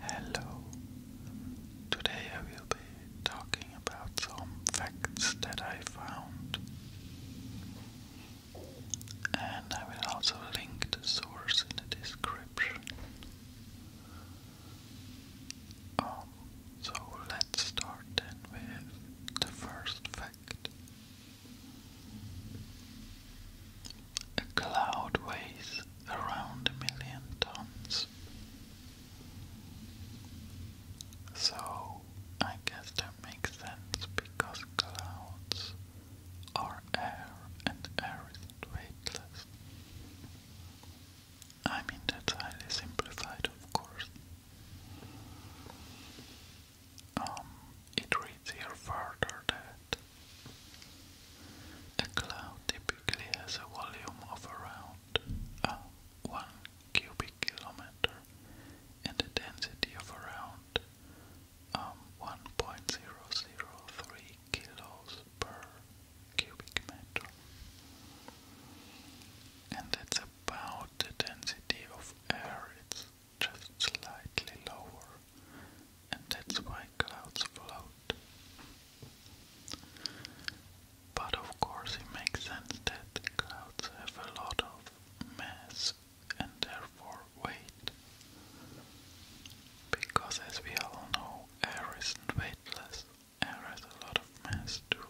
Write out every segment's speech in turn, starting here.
Hello. Today I will be talking about some facts that I found. And I will also link the source in the description. Um, so let's start then with the first fact. A cloud weighs around a million tons. So I guess that makes sense because clouds are air and air is weightless. I mean that's highly simplified of course. Um, it reads here further that a cloud typically has a volume of around uh, 1 cubic kilometer and a density of around um, 1.003 kilos per cubic meter. And that's about the density of air, it's just slightly lower and that's why clouds float. But of course, it makes sense that clouds have a lot of mass and therefore weight. Because, as we all know, air isn't weightless, air has a lot of mass too,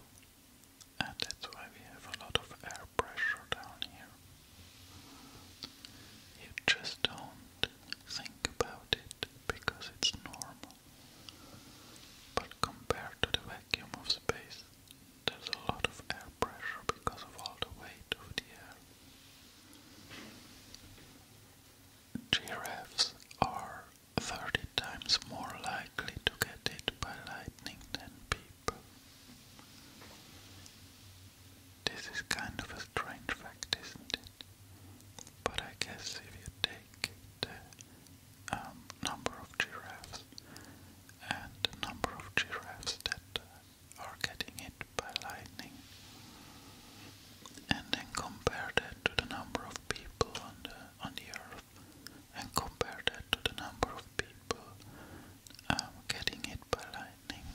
and that's why we have a lot of air pressure down here. You just don't think about it because it's normal. But compared to the vacuum of space, there's a lot of air pressure because of all the weight of the air. Giraffes are 30 times more likely to get hit by lightning than people. This is kind of a strange fact, isn't it? But I guess if you take the uh, um, number of giraffes and the number of giraffes that uh, are getting it by lightning, and then compare that to the number of people on the on the earth, and compare that to the number of people um, getting hit by lightning,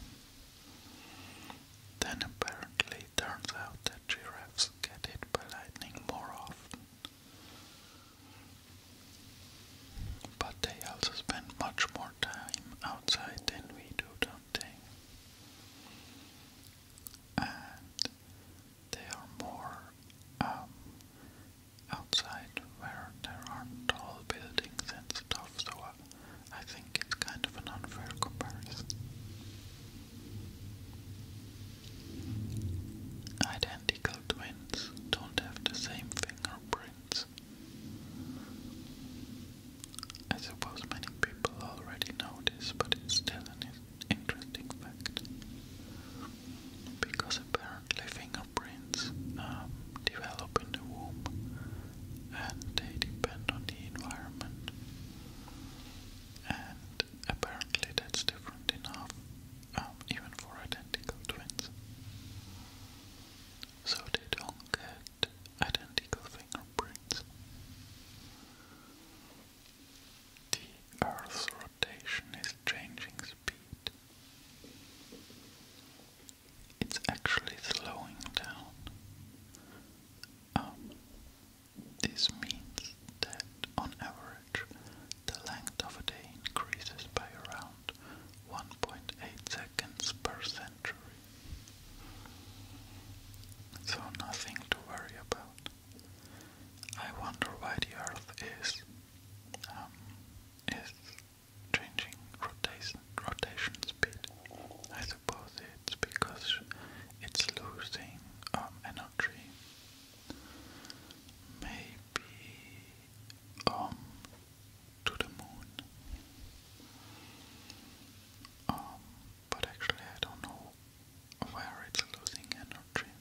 then apparently it turns out that giraffes get hit by lightning more often. But they also spend much more time outside than we do, don't they? And they are more um, outside where there are tall buildings and stuff, so uh, I think it's kind of an unfair comparison. Identical twins don't have the same fingerprints. I suppose many people already know this, but it's still an interesting fact. Because apparently fingerprints um, develop in the womb and they depend on the environment and apparently that's different enough um, even for identical twins. So they don't get identical fingerprints. The Earth's rotation is changing speed. It's actually slowing down. Um, this means that on average the length of a day increases by around 1.8 seconds per century. So nothing to worry about. I wonder why the Earth is um, is changing rotation rotation speed suppose it's because it's losing um, energy. Maybe um, to the moon. Um, but actually I don't know where it's losing energy.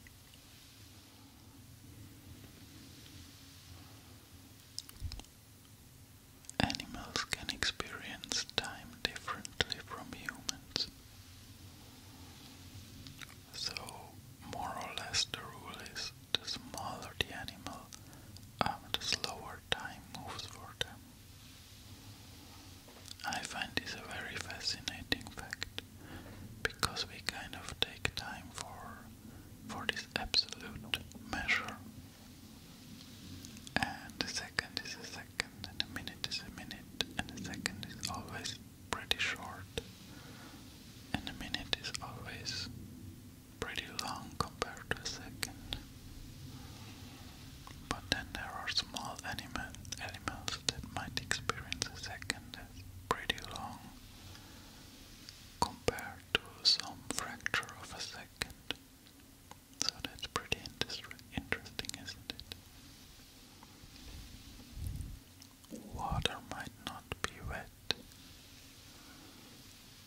Animals can experience time differently from humans. So, more or less, the rule is the smaller the animal, um, the slower time moves for them. I find this a very fascinating fact because we kind of take time for for this absolute measure. And the second is a second, and a minute is a minute, and a second is always pretty short, and a minute is always pretty long compared to a second. But then there are small animal, animals that might experience a second as pretty long compared to some fraction of a second. So that's pretty interesting, isn't it? Water might not be wet.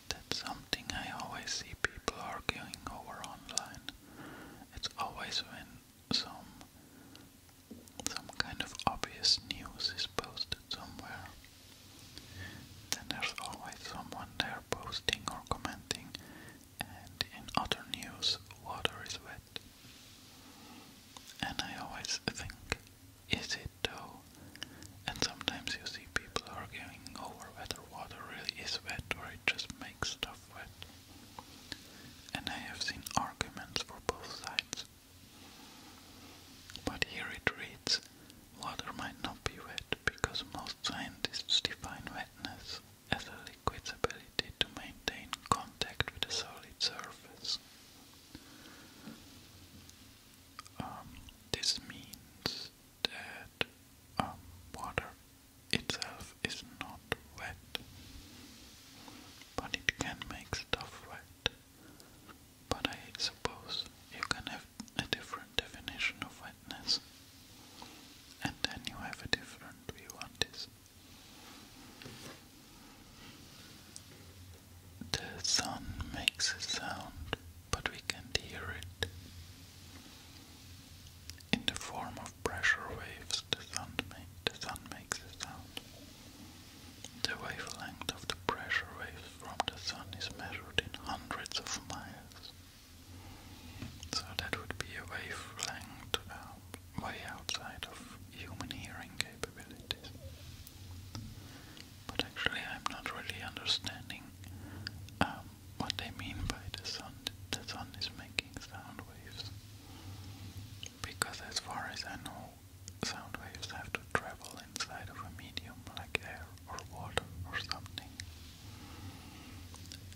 That's something I always see people arguing over online. It's always when some some kind of obvious news is posted somewhere. Then there's always someone there posting or commenting and in other news, water is wet. And I always think, is it though? And sometimes you see people arguing over whether water really is wet or it just makes stuff wet. And I have seen arguments for both sides. But here it reads, water might not be wet because most scientists define wetness as a liquid's ability to maintain contact with a solid surface. Um, this means that um, water itself is not wet, but it can make stuff wet. But I suppose you can have a different definition of wetness, and then you have a different view on this. The sun makes a sound, but we can't hear it. In the form of pressure waves, the sun, makes a sound. The wavelength of the pressure waves from the sun is measured in hundreds of miles. So that would be a wavelength uh, way outside of human hearing capabilities. But actually, I'm not really understanding um, what they mean by the sun. The sun is making sound waves. Because, as far as I know, sound waves have to travel inside of a medium like air or water or something.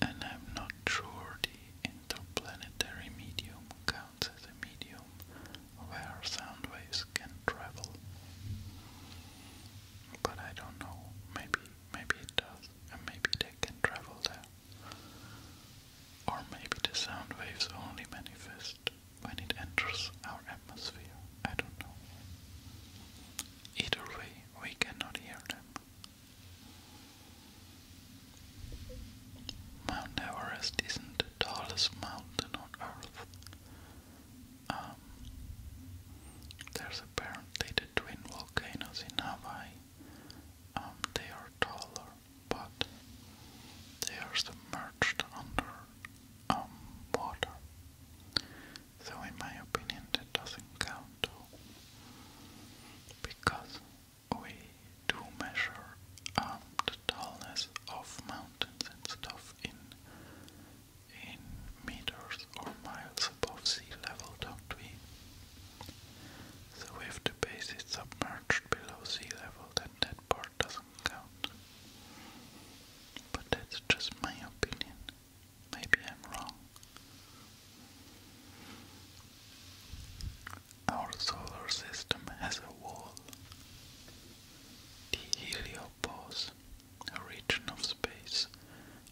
And I'm not sure the interplanetary medium counts as a medium where sound waves can travel. But I don't know. Maybe maybe it does and maybe they can travel there. Or maybe the sound waves only manifest when it enters our atmosphere. I don't know. Either way, we cannot hear them. Mount Everest isn't the tallest mountain on earth. Um, there's apparently the twin volcanoes in Hawaii. Um, they are taller, but they are submerged under um, water. So in my opinion that doesn't count Because we do measure um, the tallness of mountains and stuff in in meters or miles above sea level, don't we? So if the base is submerged below sea level, then that part doesn't count. But that's just my opinion. Maybe I'm wrong. Our solar system has a wall. The heliopause, a region of space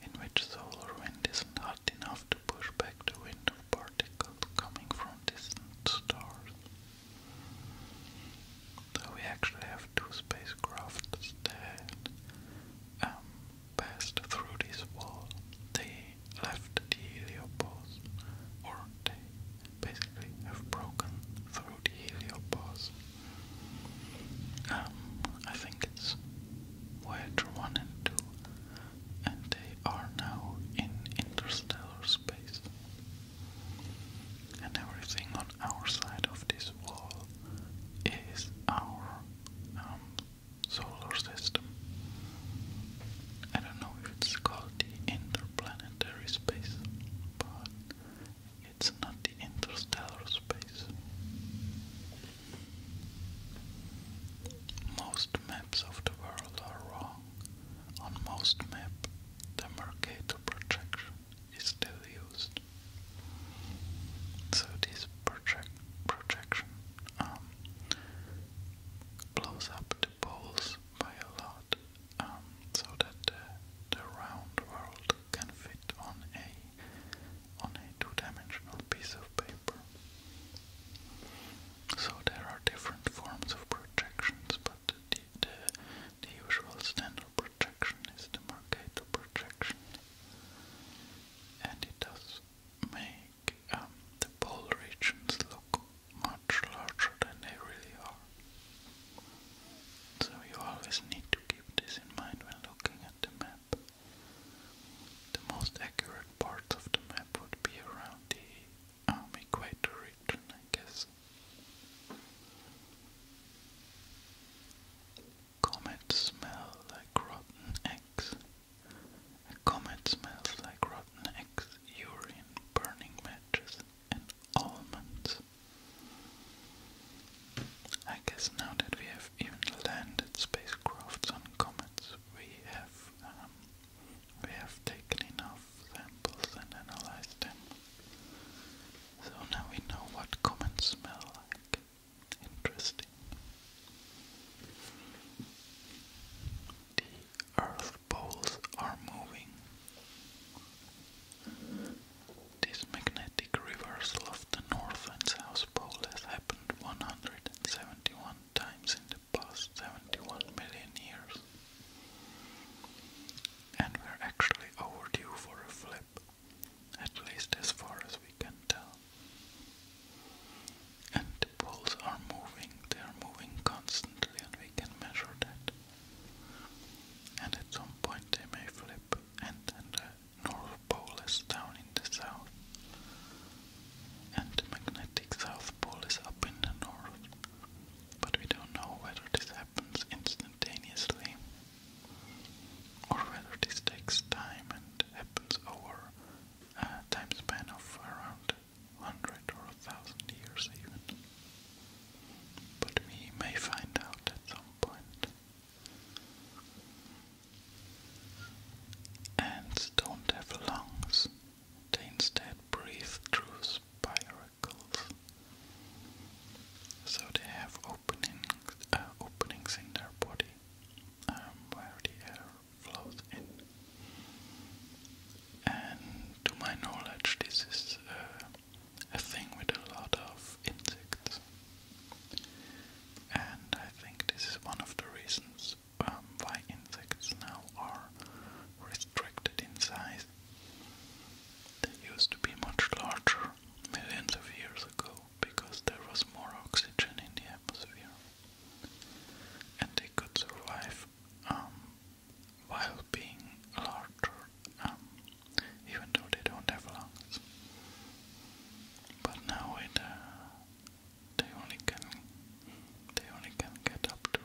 in which solar wind isn't enough to push back the wind of particles coming from distant stars. So we actually have two spacecraft that um, passed through this wall, they left the heliopause, or they basically have broken through the heliopause. Um, I think it's Voyager 1 and 2, and they are now in interstellar space. And everything on our side of this wall is our um, solar system. I don't know if it's called the interplanetary space, but it's not the interstellar space. Most maps of the world are wrong. On most maps, the Mercator projection is still used. So this projection um, blows up the poles by a lot um, so that the, round world can fit on a on a two-dimensional piece of paper. So there are different forms of projections, but the, the, the usual standard projection is the Mercator projection, and it does make make um, the pole regions look much larger than they really are. So you always need to keep this in mind when looking at the map. The most accurate parts of the map would be around the um, equator region, I guess. Comets smell like rotten eggs. A comet smells like rotten eggs, urine, burning matches, and almonds. I guess now that we have even landed spacecrafts on comets, we have um, we have taken enough samples and analyzed them. So now we know what comets smell like. Interesting earth poles are moving. This magnetic reversal of the north and south pole has happened 171 times in the past 71 million years. And we're actually overdue for a flip, at least as far as we can tell. And the poles are moving, they are moving constantly, and we can measure that. And at some point they may flip, and the north pole is down in the south, and the magnetic south pole is up in the north. But we don't know whether this happens instantaneously or whether this takes time and happens over a time span of around hundred or a thousand years even. But we may find out at some point. Ants don't have lungs, they instead breathe through spiracles. So they have openings, uh, openings in their body um, where the air flows in. And to my knowledge, this is uh, a thing with a lot of insects. And I think this is one of the reasons um, why insects now are restricted in size. They used to be much larger millions of years ago because there was more oxygen in the atmosphere. And they could survive um, while being larger, um, even though they don't have lungs. But now it, uh, they only can they only can get up to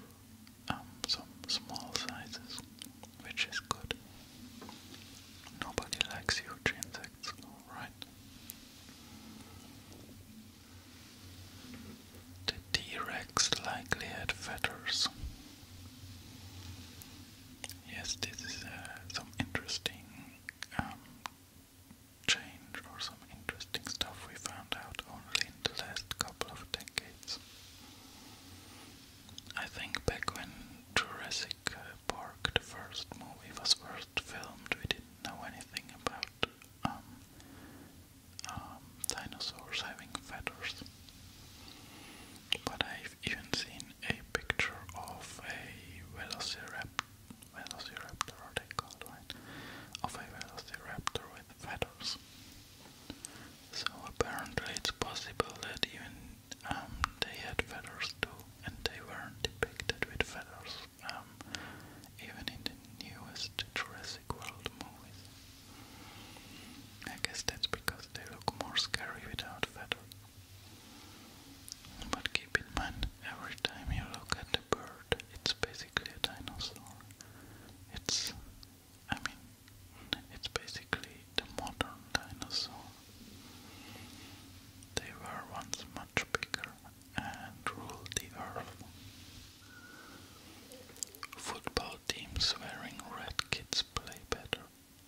um, some small sizes, which is good. Nobody likes huge insects, right? The T-Rex likely had feathers. Yes, this is uh, some interesting um, change or some interesting stuff we found out only in the last couple of decades. I think back when Jurassic uh, Park, the first movie, was first filmed, we didn't know anything about um, um, dinosaurs having feathers. But I've even seen a picture of a velociraptor, velociraptor are they called, right? Of a velociraptor with feathers. So apparently it's possible that even um, they had feathers too, and they weren't depicted with feathers, even in the newest Jurassic I guess that's because they look more scary without feathers. But keep in mind, every time you look at a bird, it's basically a dinosaur. It's, I mean, it's basically the modern dinosaur. They were once much bigger and ruled the earth. Football teams wearing red kits play better.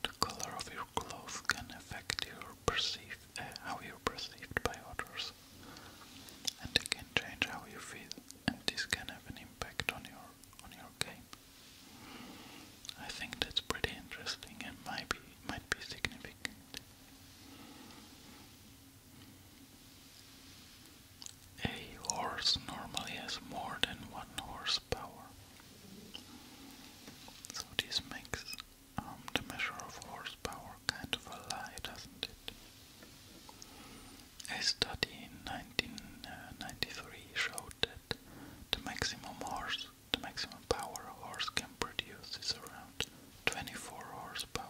The color of your clothes can affect uh, how you're perceived by others, and it can change how you feel, and this can have an impact on your on your game. I think that's pretty interesting and might be might be significant. A horse normally has more than one horsepower. So this makes um, the measure of horsepower kind of a lie, doesn't it? A study in 1993 uh, showed that the maximum horse, the maximum power a horse can produce is around 24 horsepower.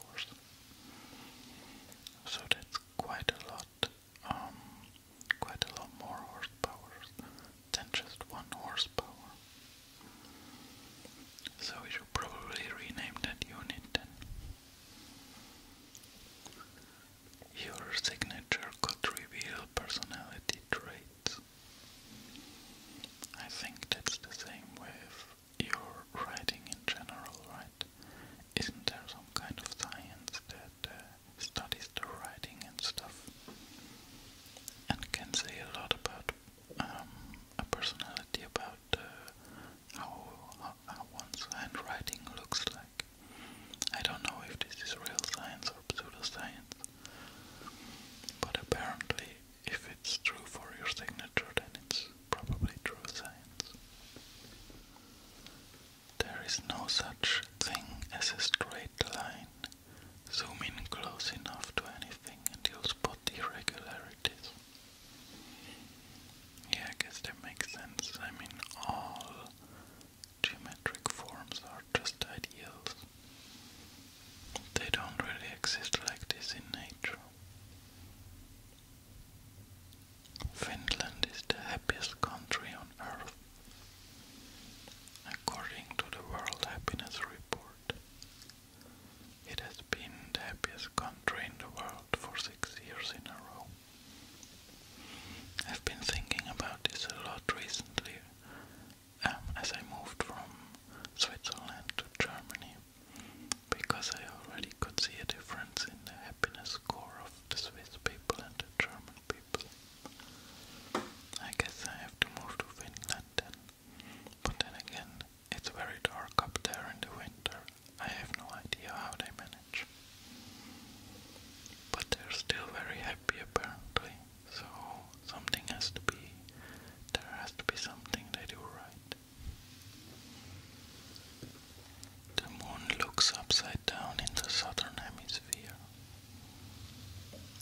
So that's quite a lot, um, quite a lot more horsepower than just one horsepower. So we should probably rename that unit Your signature could reveal personality traits. I think that's the same with your writing in general, right? Isn't there some kind of science that uh, studies the writing and stuff and can say a lot about um, a personality, about uh, how, how, how one's handwriting looks like? I don't know if this is real science or pseudoscience, but apparently, if it's true for your signature, then it's probably true science. There is no such thing as a straight line. Zoom in close enough to anything and you'll spot irregularities. Yeah, I guess that makes sense. I mean, all geometric forms are just ideals. They don't really exist like this in nature. Finland is the happiest country on earth, according to the World Happiness Report. It has been the happiest country in the world for six years in a row. I've been thinking about this a lot recently um, as I moved from Switzerland to Germany because I already could see a difference in the happiness score of the Swiss people and the German people. I guess I have to move to Finland then. But then again, it's very dark up there in the winter. I have no idea how they manage. But they're still very happy apparently, so something has to be. There has to be something they do right. The moon looks upside down in the southern hemisphere,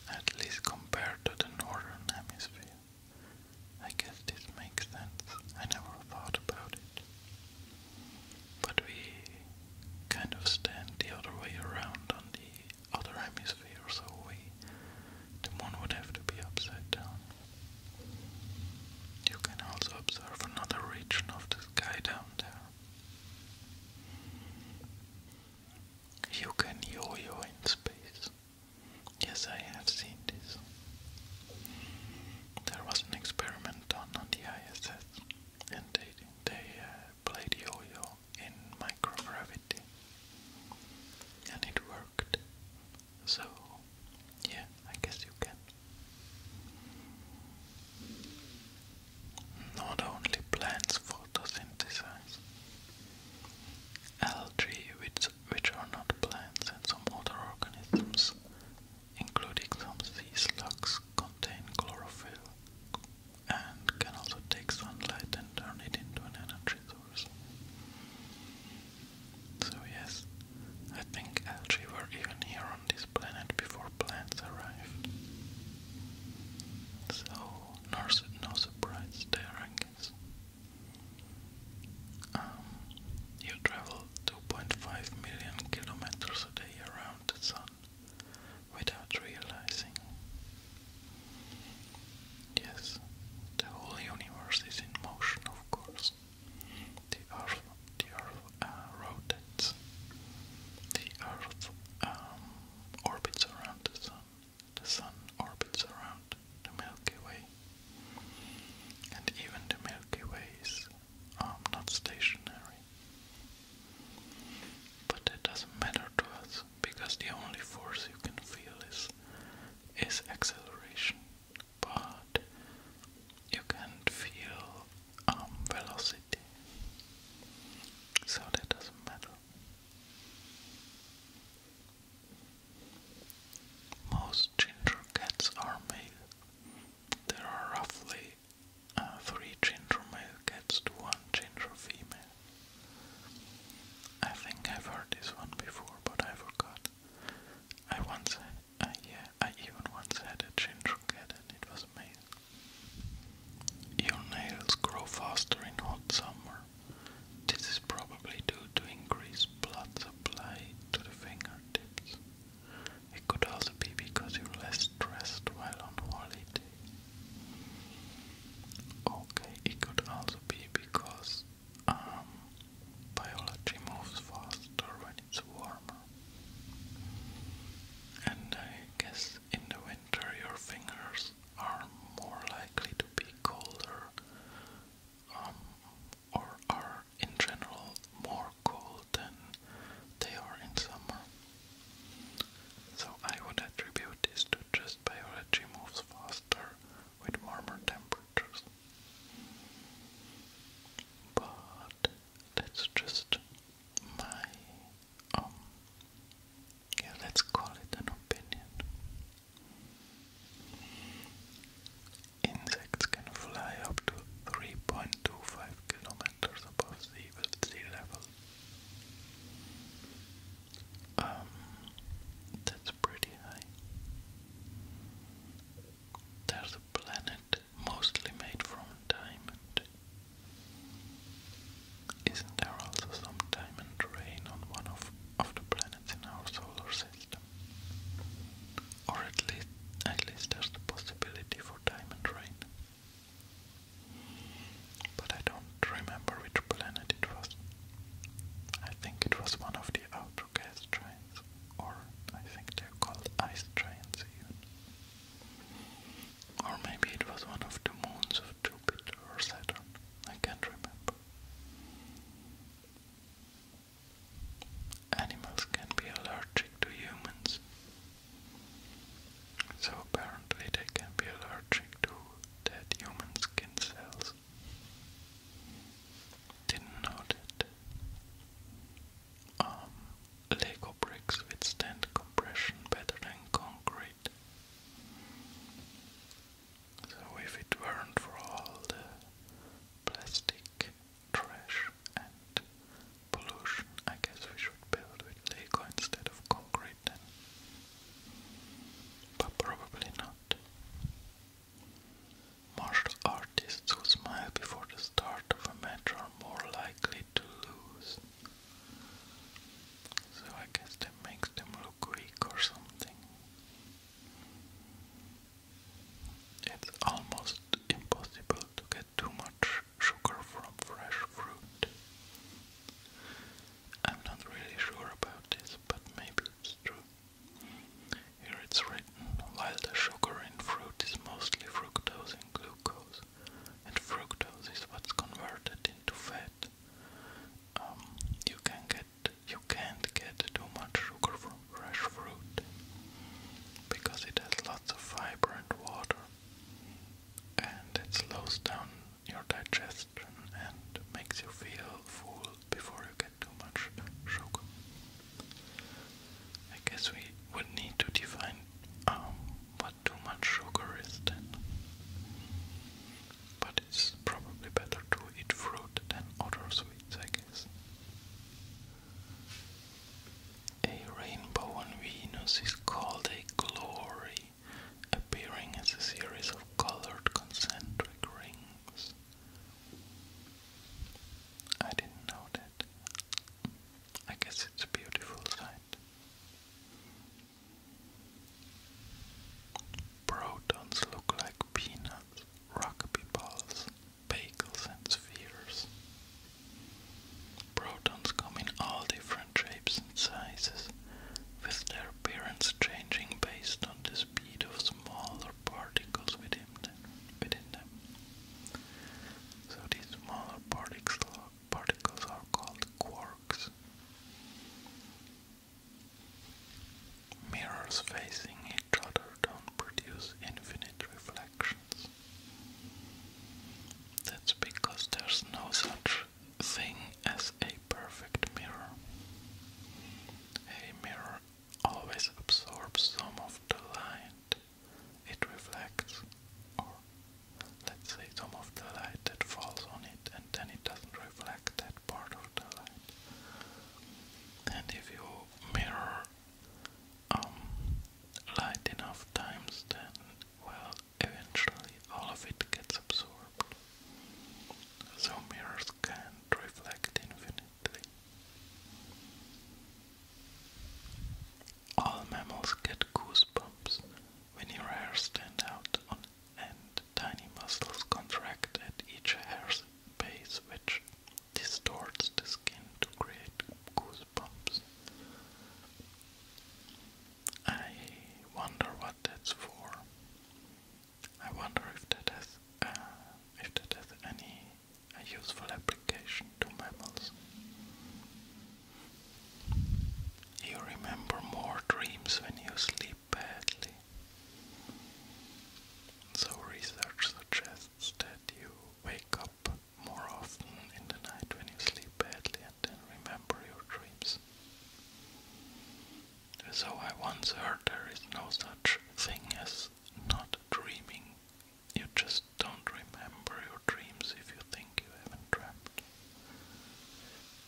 at least compared to the northern hemisphere. I guess this makes sense. I never thought about it. But we kind of stand the other way around on the other hemisphere, so we the moon would have to be upside down. You can also observe another region of the sky down there. You can yo-yo in space. Yes, I have seen this. There was an experiment done on the ISS, and they they uh, played yo-yo in microgravity, and it worked. So yeah, I guess you can. Not only plants photosynthesize. Algae, which, which are not plants, and some other organisms, including some sea slugs, contain chlorophyll and can also take sunlight and turn it into an energy source. So, yes, I think algae were even here this planet before plants arrived. So, no, surprise there, I um, you travel 2.5 million kilometers a day around the sun without realizing. Yes, the whole universe is in motion, of course. The earth, the earth uh, rotates. The earth um, orbits around the sun. The sun orbits around the Milky Way. And even the Milky Way is um, not stationary. But it doesn't matter to us because the only force you can feel is is acceleration but you can't feel arm um, velocity, so that doesn't matter. Most ginger cats are male. There are roughly uh, three ginger male cats to one ginger female. I think I've heard this one before, but I forgot. I once I, yeah, I even once had a ginger cat and it was amazing. Your nails grow faster in hot summer. This is probably due to increased blood supply to the fingertips. It could also be because you're less stressed while on holiday. Okay, it could also be because um, biology moves faster when it's warmer. And I guess in the winter your fingers are more likely to be colder um, or are in general more cold than they are in summer. So I would attribute this to just biology moves faster with warmer temperatures. But that's just my um, yeah let's call it an opinion. Insects can fly up to 3.25 kilometers above sea, level. Um, that's pretty high. There's a planet mostly made from diamond. Isn't there also some diamond rain on one of, of the planets in our solar system? Or at least, at least there's the possibility for diamond rain. But I don't remember which planet it was. I think it was one of the outer gas giants, or I think they're called ice giants even. Or maybe it was one of the moons of Jupiter or Saturn, I can't remember. Animals can be allergic to humans, so apparently they can be allergic to dead human skin cells. Didn't know that. Um, Lego bricks withstand compression better than concrete. So, if it weren't for all the plastic trash and pollution, I guess we should build with Lego instead of concrete But probably not. Martial artists who smile before the start of a match more likely to lose. So I guess that makes them look weak or something. It's almost impossible to get too much sugar from fresh fruit. I'm not really sure about this, but maybe it's true. Here it's written, while the sugar in fruit is mostly fructose and glucose, and fructose is what's converted into fat. Um, you can't get too much sugar from fresh fruit because it has lots of fiber and water, and it slows down your digestion and makes you feel full before you get too much sugar. I guess we would need to define um, too much sugar is then. But it's probably better to eat fruit than other sweets, I guess. A rainbow on Venus is called a glory, appearing as a series of colored concentric rings. I didn't know that. I guess it's a beautiful sight. Protons look like peanuts, rugby balls, bagels, and spheres. Protons come in all different shapes and sizes, with their appearance changing based on the speed of smaller particles within them. Within them. So these smaller particles are called quarks. Mirrors facing each other don't produce infinite reflections. That's because there's no such thing as a perfect mirror. A mirror always absorbs some of the light it reflects, or let's say some of the light that falls on it, and then it doesn't reflect that part of the light. And if you mirror um, light enough times, then well, eventually all of it gets absorbed. So mirrors can't reflect infinitely. All mammals get goosebumps when their hairs stand out on end. Tiny muscles contract at each hair's base, which distorts the skin to create goosebumps. I wonder what that's for. I wonder if that has uh, if that has any useful application to mammals. You remember more dreams when you sleep badly. So, research suggests that you wake up more often in the night when you sleep badly and then remember your dreams. So, I once heard there is no such thing as not dreaming you just don't remember your dreams if you think you haven't dreamt.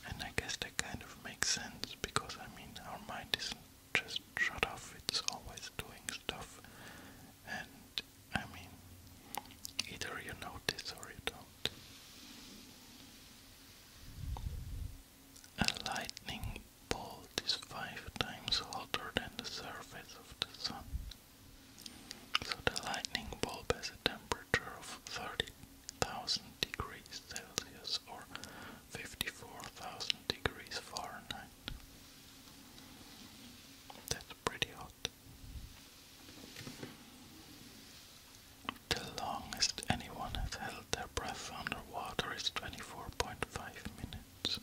And I guess that kind of makes sense because I mean, our mind isn't just shut off, it's always doing stuff. And I mean, either you notice or you don't. A lightning bolt is five times hotter than the surface of the sun. So the lightning bulb has a temperature of 30,000 degrees Celsius or 54,000 degrees Fahrenheit. That's pretty hot. The longest anyone has held their breath underwater is 24.5 minutes.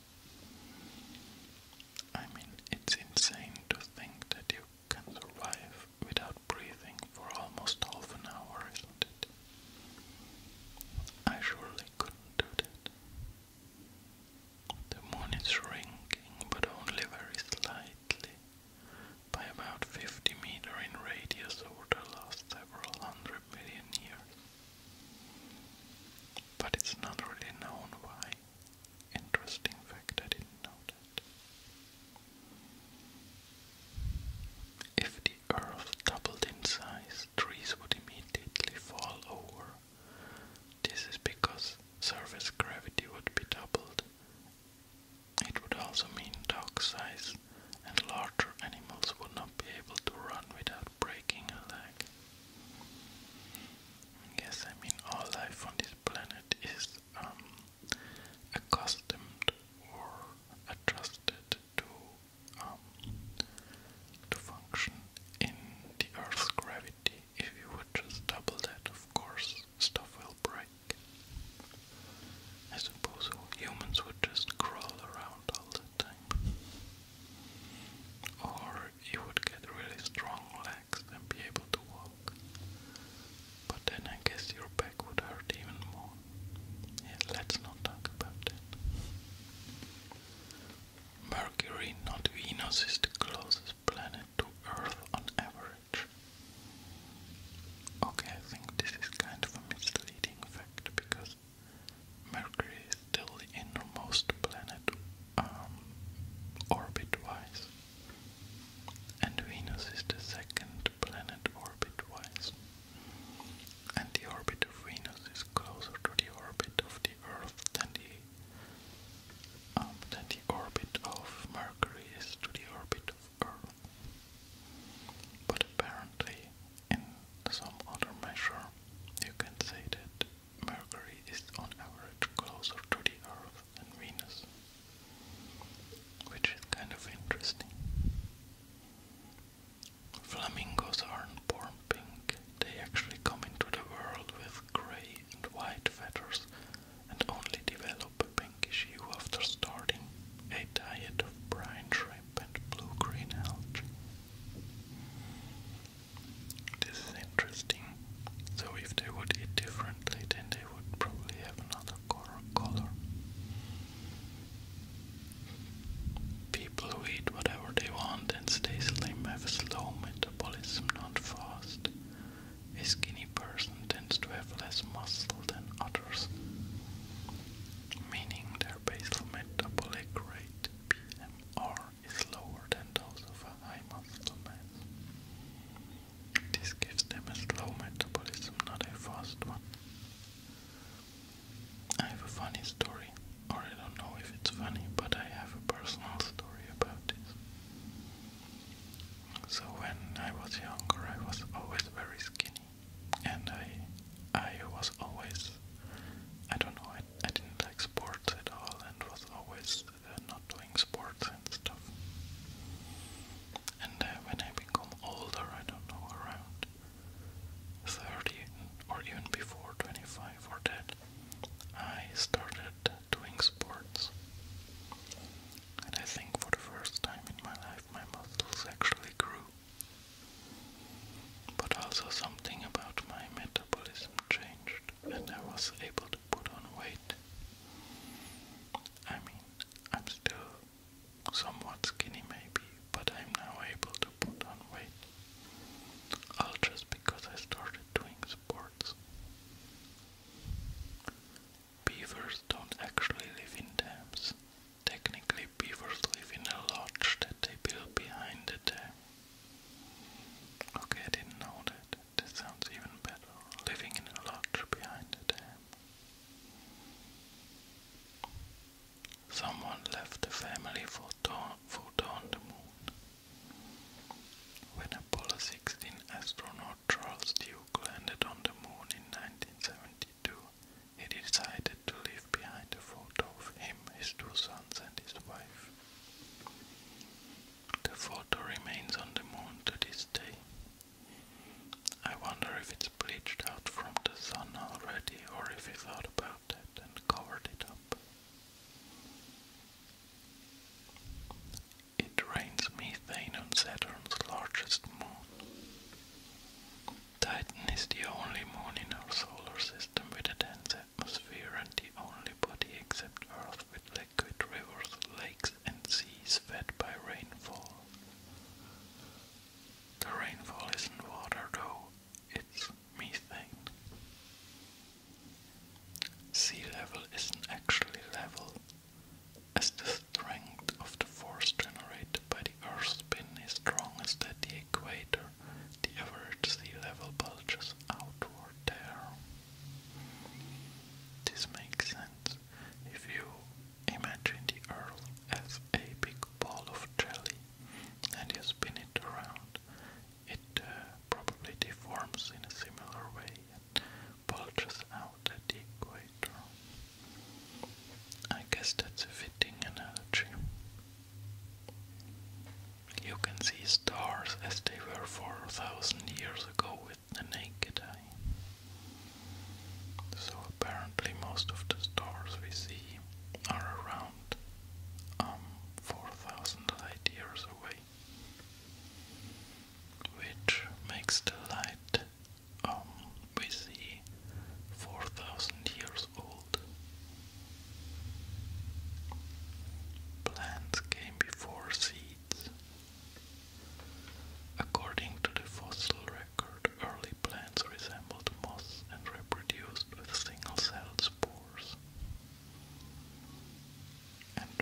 I mean, it's insane to think that you can survive without breathing for almost half an hour, isn't it? I surely couldn't do that. The moon is shrinking, but only very slightly, by about 50 meter in radius over the last several hundred million years. But it's not really known why. Interesting fact, I didn't know that. If the earth doubled in size, trees would immediately fall over. This is because surface gravity would be doubled. It would also mean dog size and larger animals would not be able to run without breaking a leg. Yes, I mean all life on planet is um, accustomed or adjusted to um, to function in the Earth's gravity. If you would just double that, of course, stuff will break. I suppose humans would just crawl around all the time. Or you would get really strong and be able to walk. But then I guess your back would hurt even more. let's not talk about that. Mercury, not Venus, is the closest planet to Earth on average. Okay, I think this is kind of a misleading fact because Mercury is still the innermost planet um, orbit wise and Venus is the second planet orbit-wise. And the orbit of Venus is closer to the orbit of the Earth than the um, than the orbit of Mercury is to the orbit of Earth. But apparently, in some other measure, you can say that Mercury is on average closer to the Earth Venus, which is kind of interesting. Flamingos aren't born pink, they actually come into the world with grey and white feathers and only develop a pinkish hue after starting a diet of brine shrimp and blue green algae. This is interesting so if they would eat differently, then they would probably have another color. Color. People who eat whatever they want and stay slim have a slow metabolism, not fast. A skinny person tends to have less muscle than others, meaning their basal metabolic rate (BMR) is lower than those of a high muscle mass. This gives them a slow metabolism, not a fast one. I have a funny story, or I don't know if it's funny, but I have a personal story about this. So when I was younger, I was always very skinny, and I, I was always, I don't know, I, didn't like sports at all, and was always not doing sports and stuff. And uh, when I become older, I don't know, around 30 or even before 25 or that, I started doing sports. And I think for the first time in my life, my muscles actually grew. But also something about my metabolism changed, and I was able put on weight. I mean, I'm still somewhat skinny maybe, but I'm now able to put on weight. All just because I started doing sports. Beavers don't actually live in dams. Technically, beavers live in a lodge that they build behind the dam. Okay, I didn't know that. This sounds even better. Living in a lodge behind a dam. Someone left the family for dawn, the moon. When Apollo 16 astronaut Charles Duke landed on the moon in 1972, he decided to leave behind a photo of him, his two sons, and his wife. The photo remains on the moon to this day. I wonder if it's bleached out from the sun already or if he thought about it and covered it up. It rains methane on Saturn's largest moon. Titan is the only moon in our solar system with a dense atmosphere and the only body except Earth with liquid rivers, lakes, and seas fed by rainfall. The rainfall isn't water though, it's methane. Sea level isn't actually level, as the strength of the force generated by the Earth's spin is strongest at the equator, the average sea level bulges outward there. This makes sense if you imagine the Earth as a big ball of jelly and you spin it around, it uh, probably deforms in a similar way and bulges out at the equator. I guess that's a fitting analogy. You can see stars as they were 4,000 years ago the naked eye. So apparently most of the stars we see are around um, 4,000 light years away, which makes the light um, we see 4,000 years old. Plants came before seeds, According to the fossil record, early plants resembled moss and reproduced with single-celled spores. And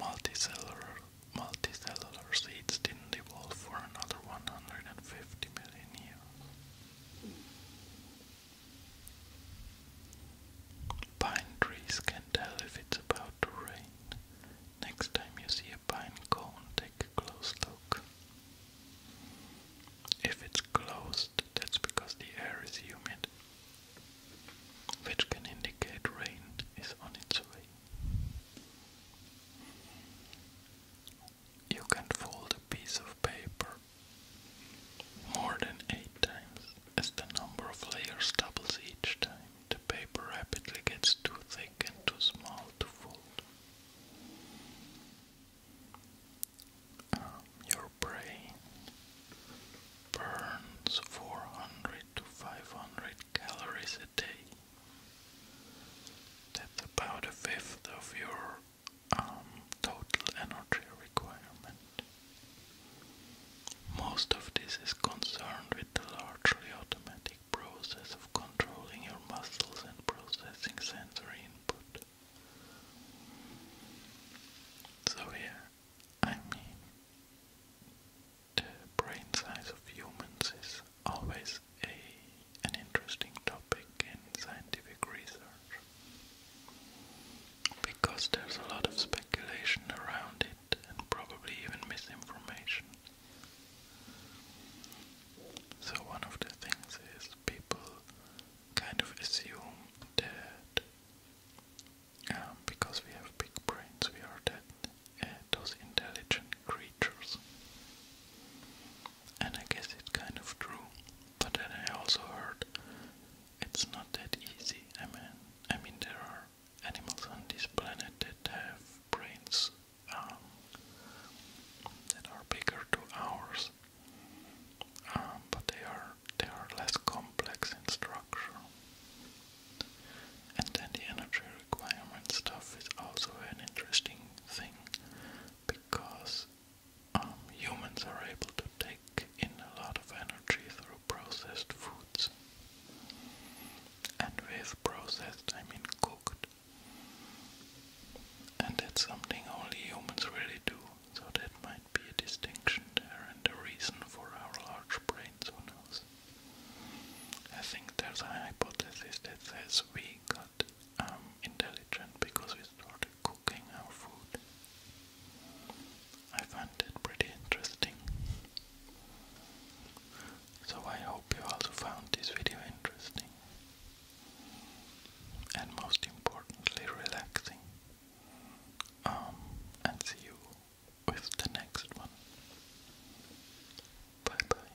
multicellular, multicellular seeds didn't evolve for another 150 million years. Pine trees can tell if it's about to rain Next time you see a pine cone, take a close look. If it's closed, that's because the air is humid, which can indicate rain is on its way. You can fold a piece of paper more than eight times as the number of layers doubles each time. The paper rapidly gets too thick and too small to fold. Um, your brain burns 400 to 500 calories a day. That's about a fifth of your um, total energy requirement. Most of this is concerned with the largely automatic process of controlling your muscles and processing sensory input. So here, I mean, the brain size of humans is always a, an interesting topic in scientific research because there's a lot of speculation around it and probably even misinformation. So one of the things is people kind of assume that um, because we have big brains, we are that uh, those intelligent creatures. And I guess it's kind of true, but then I also heard it's not that easy. I mean, I mean there are animals on this planet that have brains um, that are bigger to ours, um, but they are they are less complex in structure. And then the energy requirement stuff is also an interesting thing because um, humans are able to take in a lot of energy through processed foods and with processed I mean cooked. And that's something only humans really do, so that might be a distinction there and a reason for our large brains, who knows. I think there's a hypothesis that says we got um, intelligent because we started cooking our food. I find that pretty interesting. So I hope you also found this video interesting and most importantly relaxing. Um, and see you with the next one. Bye bye.